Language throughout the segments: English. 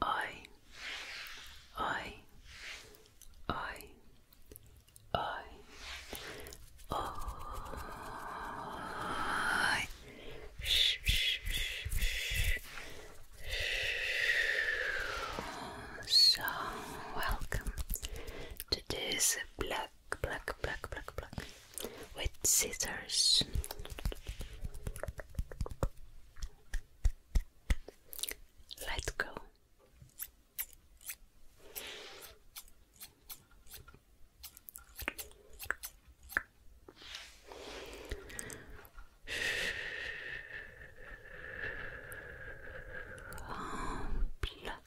I, I, I, I, I, shh, shh, shh, shh. So welcome to this black, black, black, black, black with scissors. Let's go. Pluck,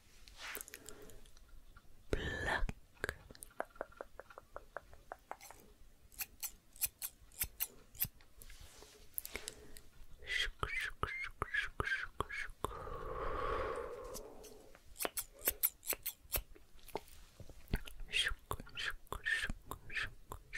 pluck shuk, shuk, shuk, shuk, shuk, shuk. Shuk, shuk, shuk, shuk, shuk, shuk, shuk, shuk.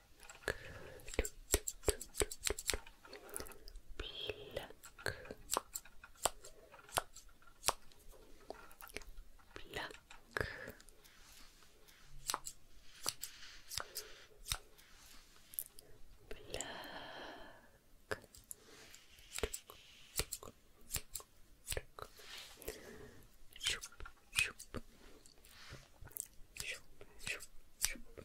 Pluck. Pluck. Shoop, shoop. Shoop, shoop, shoop.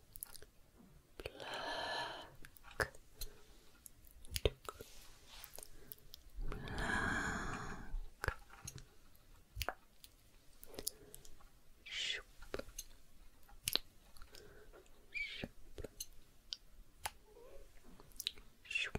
Black. Black. Shoop. Shoop. Shoop. Shoop.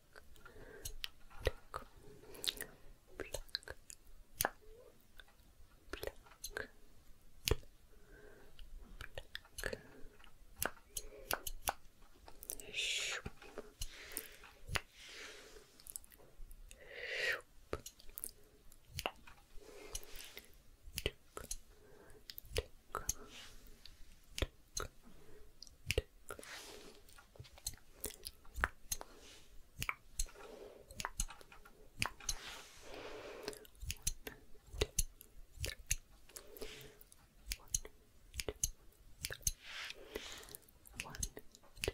pluck, pluck, pluck. Pluck. Shoop. Shoop. Tick. Tick. Tick. Tick. Tick. One, two, three. One, two,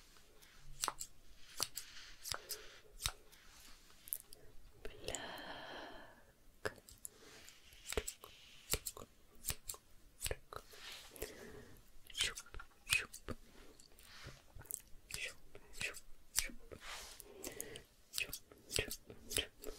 Black. Щуп, щуп. Щуп, щуп, щуп. Щуп, щуп, щуп. Black.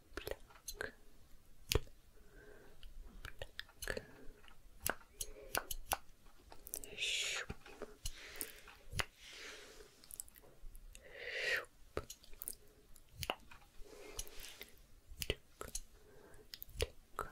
pluck, pluck. Shoop. Shoop. Tick, tick, tick, tick. One,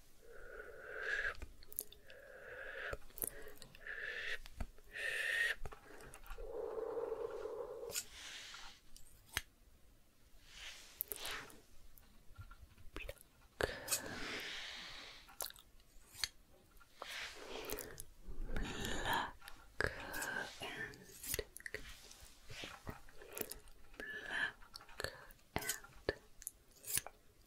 Black and Black and